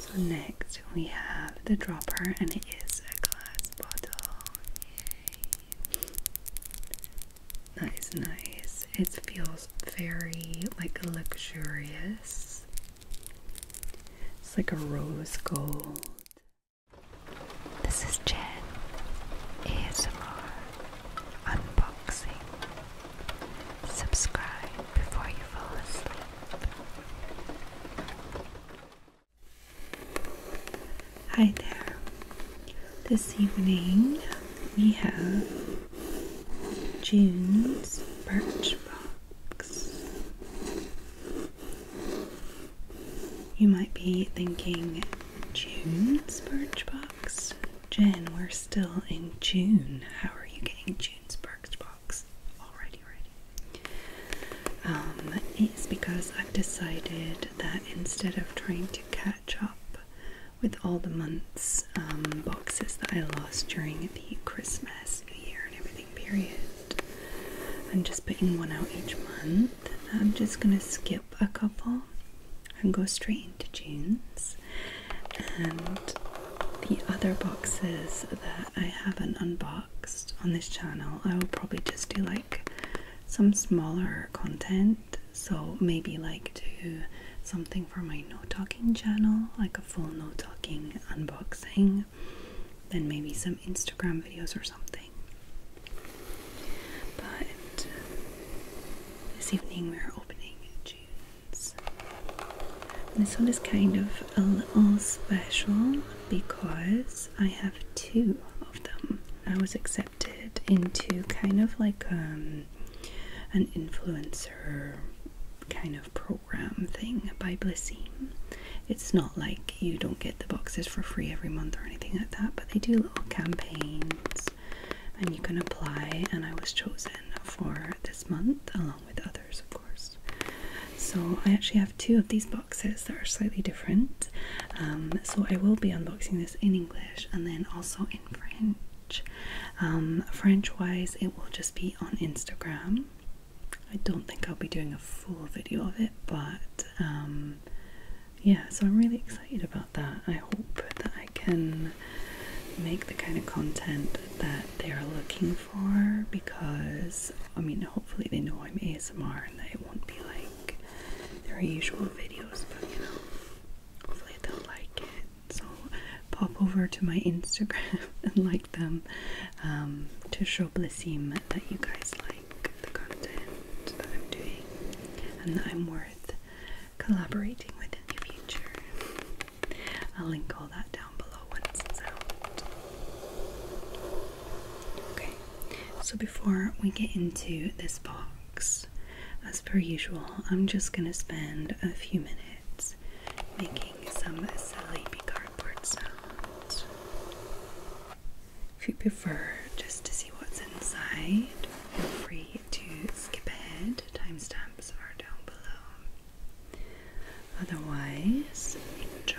So next we have the dropper and it is a glass bottle. Yay. That is nice. It feels very like luxurious. It's like a rose gold. This is Jen ASMR Unboxing. Subscribe before you fall asleep. Hi there. This evening we have June's Birch you might be thinking, June, Birchbox? Jen, we're still in June. How are you getting June's Birchbox already ready? Um, it's because I've decided that instead of trying to catch up with all the months um, boxes that I lost during the Christmas, New Year, and everything period. I'm just putting one out each month. I'm just gonna skip a couple and go straight into June's. And the other boxes that I haven't unboxed on this channel, I will probably just do like some smaller content. So maybe like do something for my no talking channel, like a full no talking unboxing, then maybe some Instagram videos or something. But uh, this evening we're opening June's. This one is kind of a little special because I have two of them. I was accepted into kind of like um, an influencer kind of program program thing by Blissim. It's not like you don't get the boxes for free every month or anything like that, but they do little campaigns and you can apply. And I was chosen for this month, along with others, of course. So I actually have two of these boxes that are slightly different. Um, so I will be unboxing this in English and then also in French. French um, wise, it will just be on Instagram. I don't think I'll be doing a full video of it, but um, yeah, so I'm really excited about that. I hope that I can make the kind of content that they're looking for because I mean, hopefully, they know I'm ASMR and that it won't be like their usual videos, but you know, hopefully, they'll like it. So pop over to my Instagram and like them um, to show Blissim that you guys like the content that I'm doing and that I'm worth collaborating with in the future. I'll link all that down below once it's out. Okay, so before we get into this box, as per usual, I'm just going to spend a few minutes making some silly cardboard sounds. If you prefer just to see what's inside, feel free to skip ahead. Timestamps are down below. Otherwise, enjoy.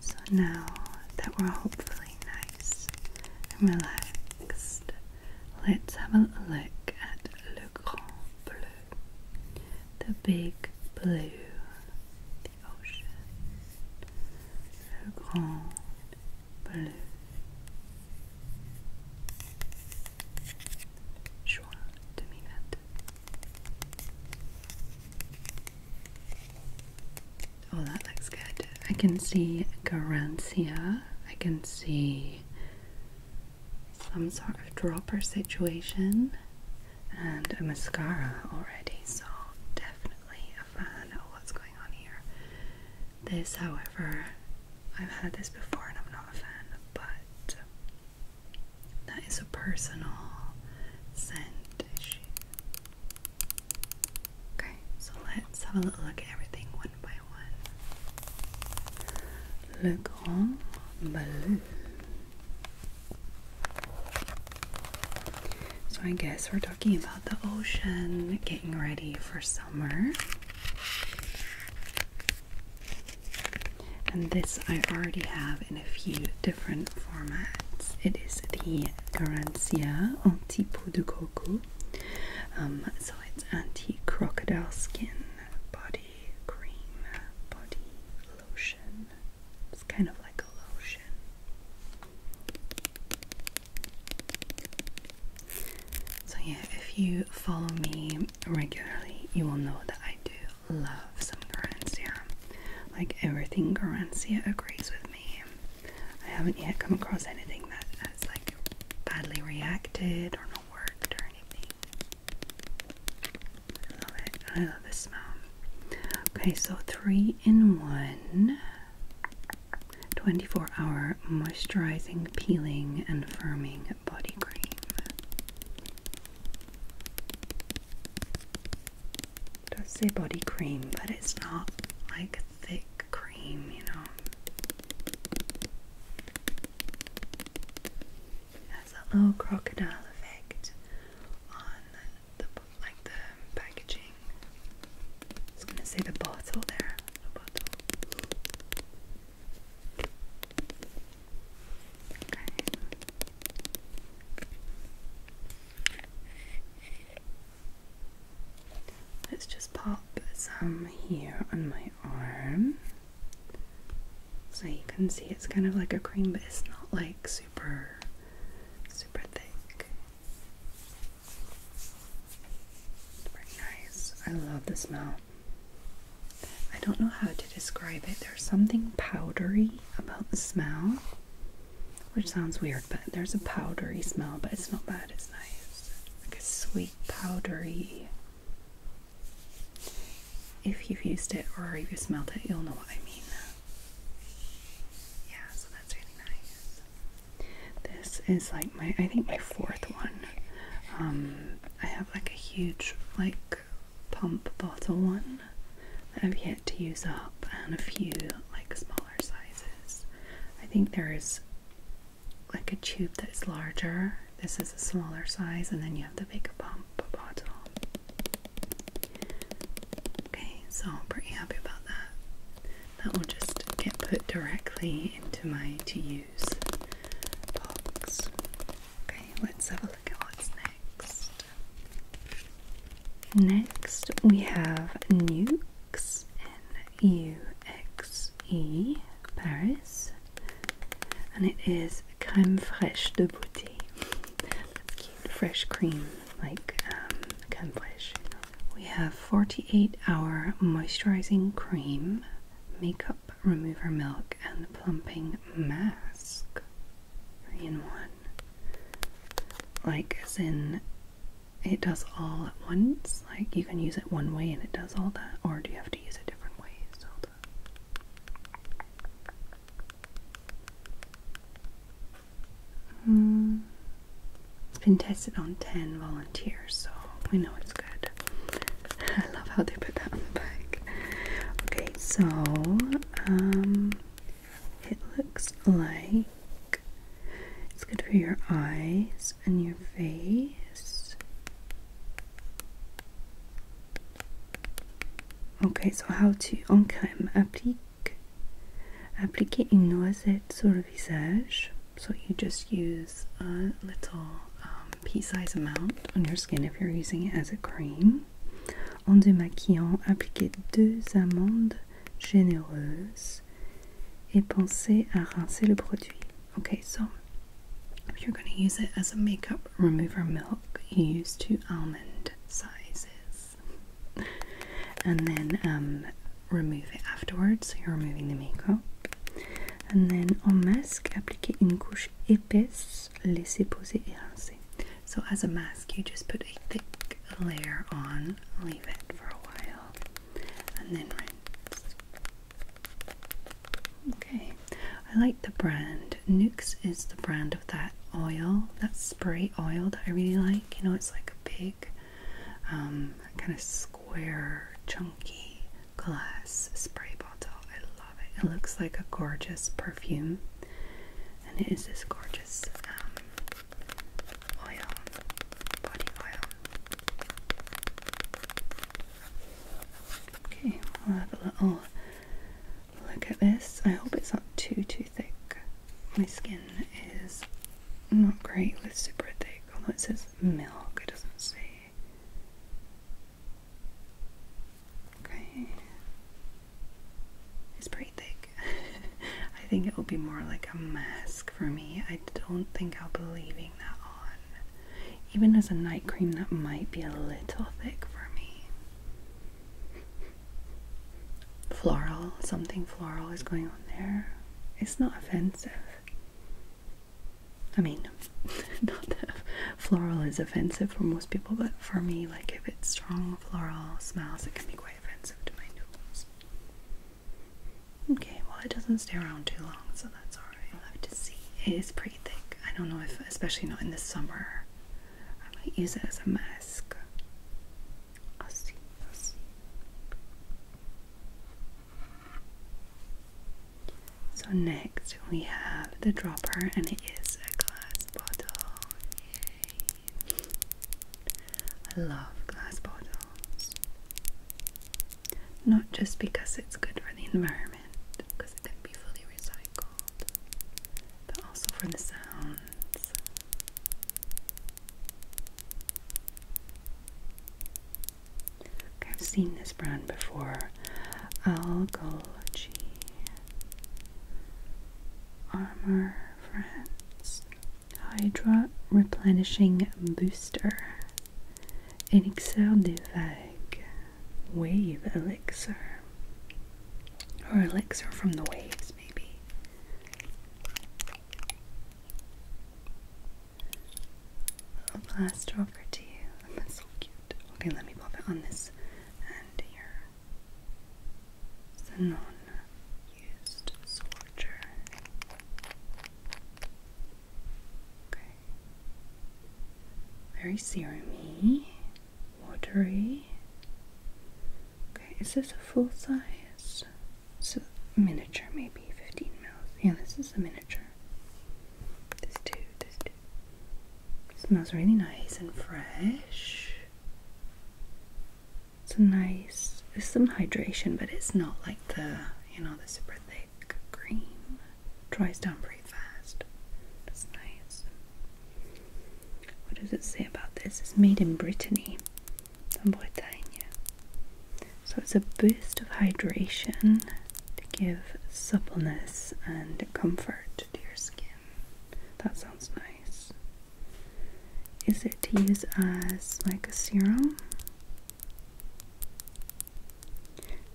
So now that we're hopefully nice and relaxed, let's have a look at Le Grand Bleu, the big blue, the ocean. Oh, that looks good. I can see Garancia. I can see some sort of dropper situation and a mascara already, so definitely a fan what's going on here. This, however, I've had this before and I'm not a fan, but that is a personal scent issue. Okay, so let's have a little look at everything one by one. Le Grand Bleu. So I guess we're talking about the ocean getting ready for summer. And this I already have in a few different formats. It is the Garancia Anti Peau de Coco. Um, so it's anti crocodile skin body cream, body lotion. It's kind of like a lotion. So, yeah, if you follow me regularly, you will know that I do love some Garancia. Like everything Garancia agrees with me. I haven't yet come across anything that has like badly reacted or not worked or anything. I love it. I love the smell. Okay, so three in one. 24 hour moisturizing, peeling, and firming body cream. It does say body cream, but it's not like thick cream, you know. It has a little crocodile effect on the like the packaging. I was gonna say the bottle there. Okay. Let's just pop some here on my arm. So you can see it's kind of like a cream, but it's not like super, super thick. Very nice. I love the smell. I don't know how to describe it. There's something powdery about the smell, which sounds weird, but there's a powdery smell, but it's not bad. It's nice. Like a sweet, powdery. If you've used it or you've smelled it, you'll know what I mean. Yeah, so that's really nice. This is like my, I think my fourth one. Um, I have like a huge like pump bottle one that I've yet to use up, and a few like smaller sizes. I think there is like a tube that is larger. This is a smaller size, and then you have the big pump bottle. Okay, so I'm pretty happy about that. That will just get put directly into my to use box. Okay, let's have a look at what's next. Next, we have Nukes, N U X E, Paris, and it is crème fraîche de beauté. fresh cream like um, We have 48 hour moisturizing cream, makeup remover milk, and plumping mask. Three in one. Like, as in, it does all at once. Like, you can use it one way and it does all that, or do you have to use it different ways? All Hmm. It's been tested on 10 volunteers, so we know it's good. I love how they put that on the back. Okay, so um, it looks like it's good for your eyes and your face. Okay, so how to on cam applique Appliquez une noisette sur le visage. So you just use a little um, pea size amount on your skin if you're using it as a cream. En démaquillant, appliquez deux amandes généreuses et pensez à rincer le produit. Okay, so if you're going to use it as a makeup remover milk, you use two almond sizes. and then um, remove it afterwards so you're removing the makeup and then on mask apply a thick layer on leave it for a while and then rinse okay I like the brand Nuxe is the brand of that oil that spray oil that I really like you know, it's like a big, um, kind of square, chunky glass spray bottle. I love it. It looks like a gorgeous perfume, and it is this gorgeous um, oil, body oil. Okay, i will have a little look at this. I hope it's not too too thick my skin is not great with super thick, although it says milk, it doesn't say. Okay. It's pretty thick. I think it will be more like a mask for me. I don't think I'll be leaving that on. Even as a night cream, that might be a little thick for me floral, something floral is going on there. It's not offensive. I mean, not that floral is offensive for most people, but for me, like if it's strong floral smells, it can be quite offensive to my nose. Okay, well, it doesn't stay around too long, so that's alright. I'll have to see. It is pretty thick. I don't know if, especially not in the summer, I might use it as a mask. I'll see. I'll see. So next we have the dropper, and it is a glass bottle. Yay! I love glass bottles. Not just because it's good for the environment, because it can be fully recycled, but also for the sound. I've seen this brand before. Algology. Armor Friends. Hydra Replenishing Booster. Elixir des Vagues. Wave Elixir elixir. Or elixir from the waves, maybe. A little blaster you. That's so cute. Okay, let me pop it on this and here. It's used soldier. Okay. Very serumy watery. Okay, is this a full size? So miniature, maybe 15 mils. Yeah, this is a miniature. This too, this too. smells really nice and fresh. It's a nice, there's some hydration, but it's not like the, you know, the super thick cream. It dries down pretty fast. That's nice. What does it say about this? It's made in Brittany, Bretagne. So it's a boost of hydration to give suppleness and comfort to your skin. That sounds nice. Is it to use as like a serum?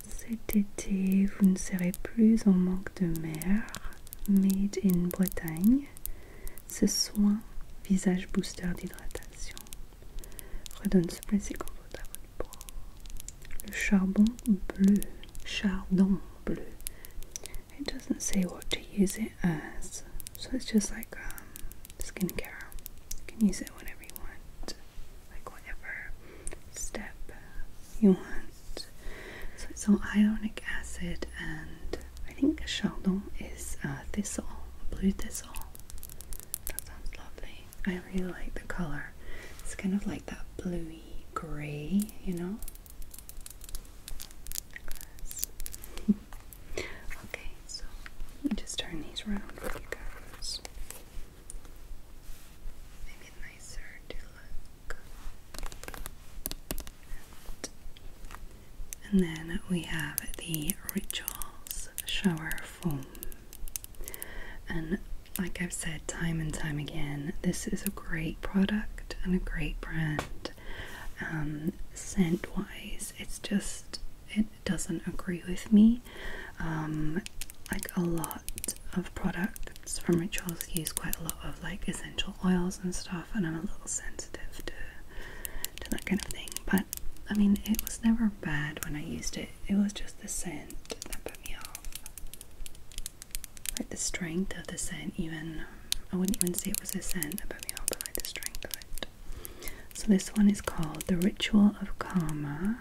Cet été, vous ne serez plus en manque de mer. Made in Bretagne, ce soin visage booster d'hydratation redonne plaisir et Le charbon bleu, chardon bleu. It doesn't say what to use it as, so it's just like um, skincare. You can use it whenever you want, like whatever step you want. So it's all ionic acid and I think chardon is uh, thistle, blue thistle. That sounds lovely. I really like the color. It's kind of like that bluey grey, you know? okay, so let me just turn these around for you guys. And then we have the Rituals Shower Foam. And like I've said time and time again, this is a great product and a great brand. Um, scent wise, it's just, it doesn't agree with me. Um, like a lot of products from Rituals use quite a lot of like essential oils and stuff, and I'm a little sensitive to to that kind of thing. But I mean, it was never bad when I used it. It was just the scent that put me off, like the strength of the scent. Even I wouldn't even say it was a scent that put me off, but like the strength of it. So this one is called the Ritual of Karma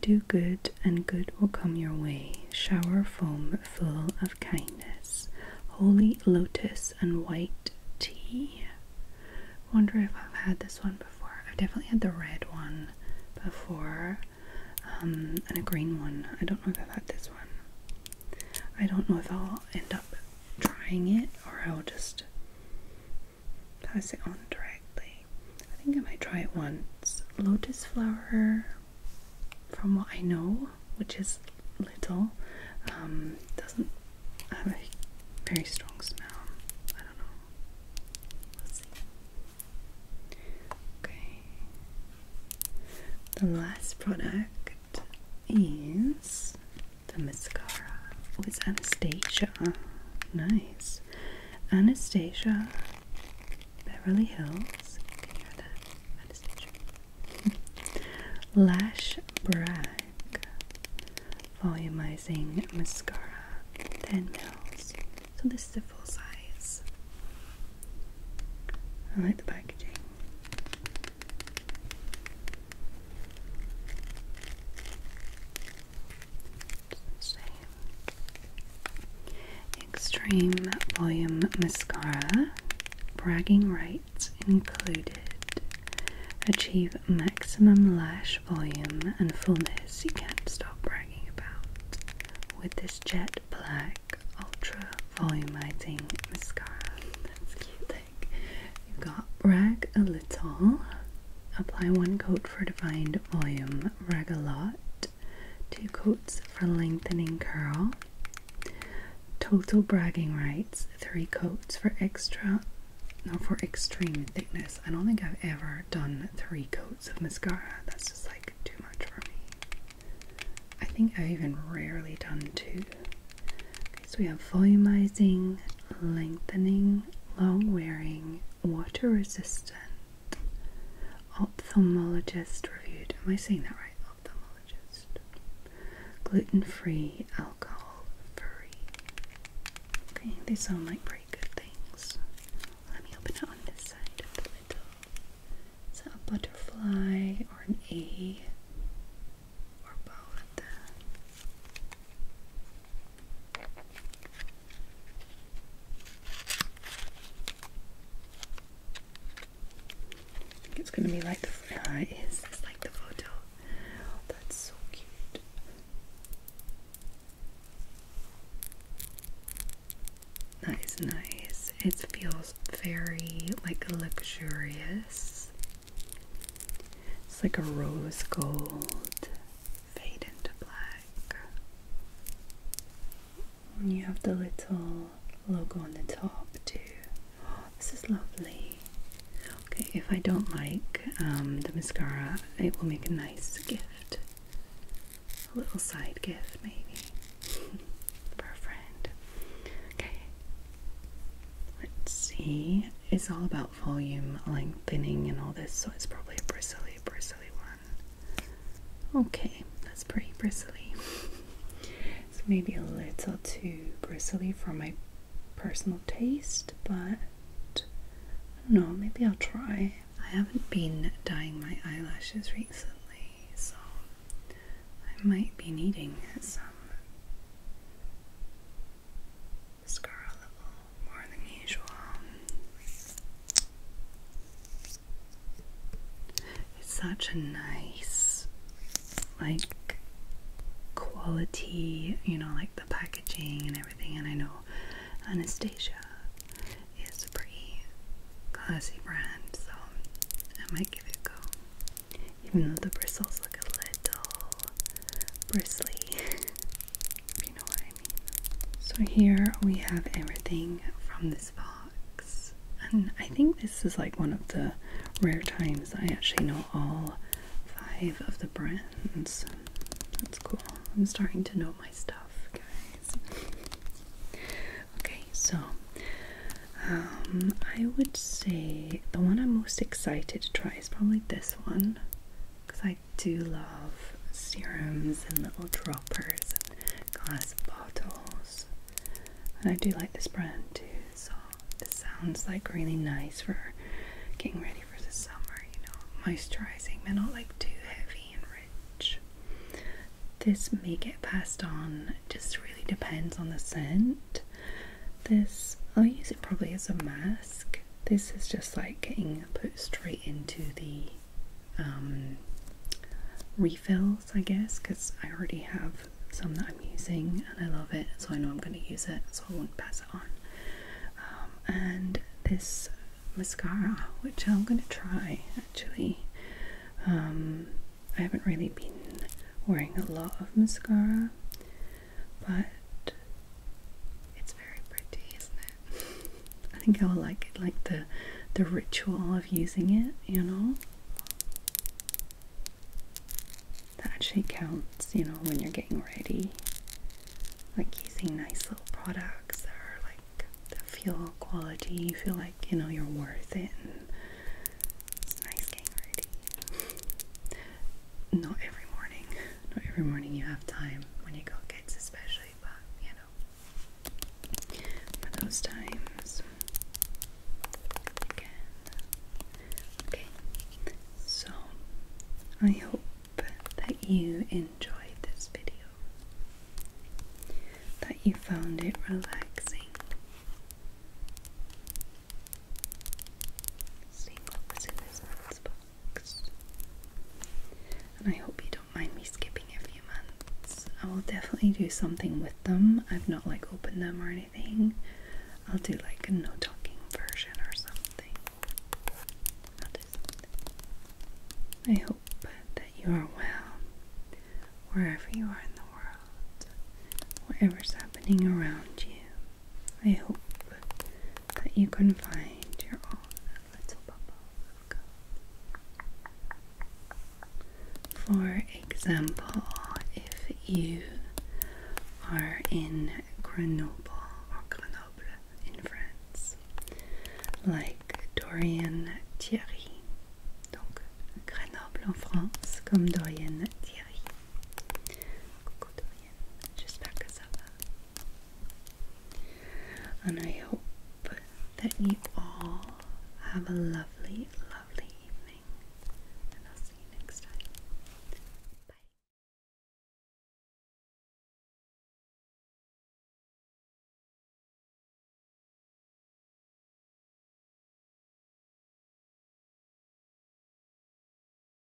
do good, and good will come your way. Shower foam full of kindness. Holy lotus and white tea. Wonder if I've had this one before. I've definitely had the red one before, um, and a green one. I don't know if I've had this one. I don't know if I'll end up trying it or I'll just pass it on directly. I think I might try it once. Lotus flower from what I know, which is little, um, doesn't have a very strong smell. I don't know. Let's see. Okay. The last product is the mascara oh, It's Anastasia. Nice. Anastasia Beverly Hills. Lash Brag Volumizing Mascara 10 mils. So this is the full size. I like the packaging. Extreme Volume Mascara, bragging rights included. Achieve maximum lash volume and fullness you can't stop bragging about with this jet black ultra volumizing mascara. That's cute thing. You've got Brag a Little, apply one coat for defined volume, brag a lot, two coats for lengthening curl, total bragging rights, three coats for extra, no, for extreme thickness. I don't think I've ever done three coats of mascara, that's just like too much for me. I think I've even rarely done two. so we have volumizing, lengthening, long wearing, water resistant. Ophthalmologist reviewed. Am I saying that right? Ophthalmologist. Gluten free, alcohol free. Okay, these sound like pretty good things. Let me open it on this side of the window. Is that a butterfly or an A? Or both? it's gonna be like the no, uh, it is. It's like the photo. that's so cute. That is nice. It feels very like luxurious. It's like a rose gold fade into black. And you have the little logo on the top too. this is lovely. Okay, if I don't like um, the mascara, it will make a nice gift. A little side gift, maybe, for a friend. Okay, let's see. It's all about volume lengthening and all this, so it's probably a bristly, bristly one. Okay, that's pretty bristly. it's maybe a little too bristly for my personal taste, but I don't know, maybe I'll try. I haven't been dyeing my eyelashes recently, so I might be needing some mascara level more than usual. It's such a nice, like, quality, you know, like the packaging and everything. And I know Anastasia is a pretty classy brand, so I might give it a go. Even though the bristles look a little bristly, you know what so here we have everything from this box. And I think this is like one of the rare times I actually know all five of the brands. That's cool. I'm starting to know my stuff, guys. okay, so um, I would say the one I'm most excited to try is probably this one because I do love serums and little droppers and glass bottles. And I do like this brand too, so it sounds like really nice for getting ready for the summer, you know, moisturizing but not like too heavy and rich. This may get passed on, just really depends on the scent. This I'll use it probably as a mask this is just like getting put straight into the um, refills, I guess, because I already have some that I'm using and I love it, so I know I'm going to use it, so I won't pass it on. Um, and this mascara, which I'm going to try actually. Um, I haven't really been wearing a lot of mascara, but it's very pretty, isn't it? I think I will like like the the ritual of using it, you know. That actually counts, you know, when you're getting ready. Like using nice little products that like that feel quality, you feel like you know you're worth it nice getting ready. Not every morning. Not every morning you have time when you got kids especially, but you know for those times again. Okay, so I hope that you enjoyed this video, that you found it relaxing. And I hope you don't mind me skipping a few months. I will definitely do something with them. I've not like opened them or anything. I'll do like a no talking version or something. I hope that you are well wherever you are in the world, whatever's happening around you. I hope that you can find your own little bubble For example, if you are in Grenoble or Grenoble in France, like Dorian Thierry, donc Grenoble en France, comme Dorian Thierry. Just back us up. And I hope that you all have a lovely, lovely evening. And I'll see you next time. Bye.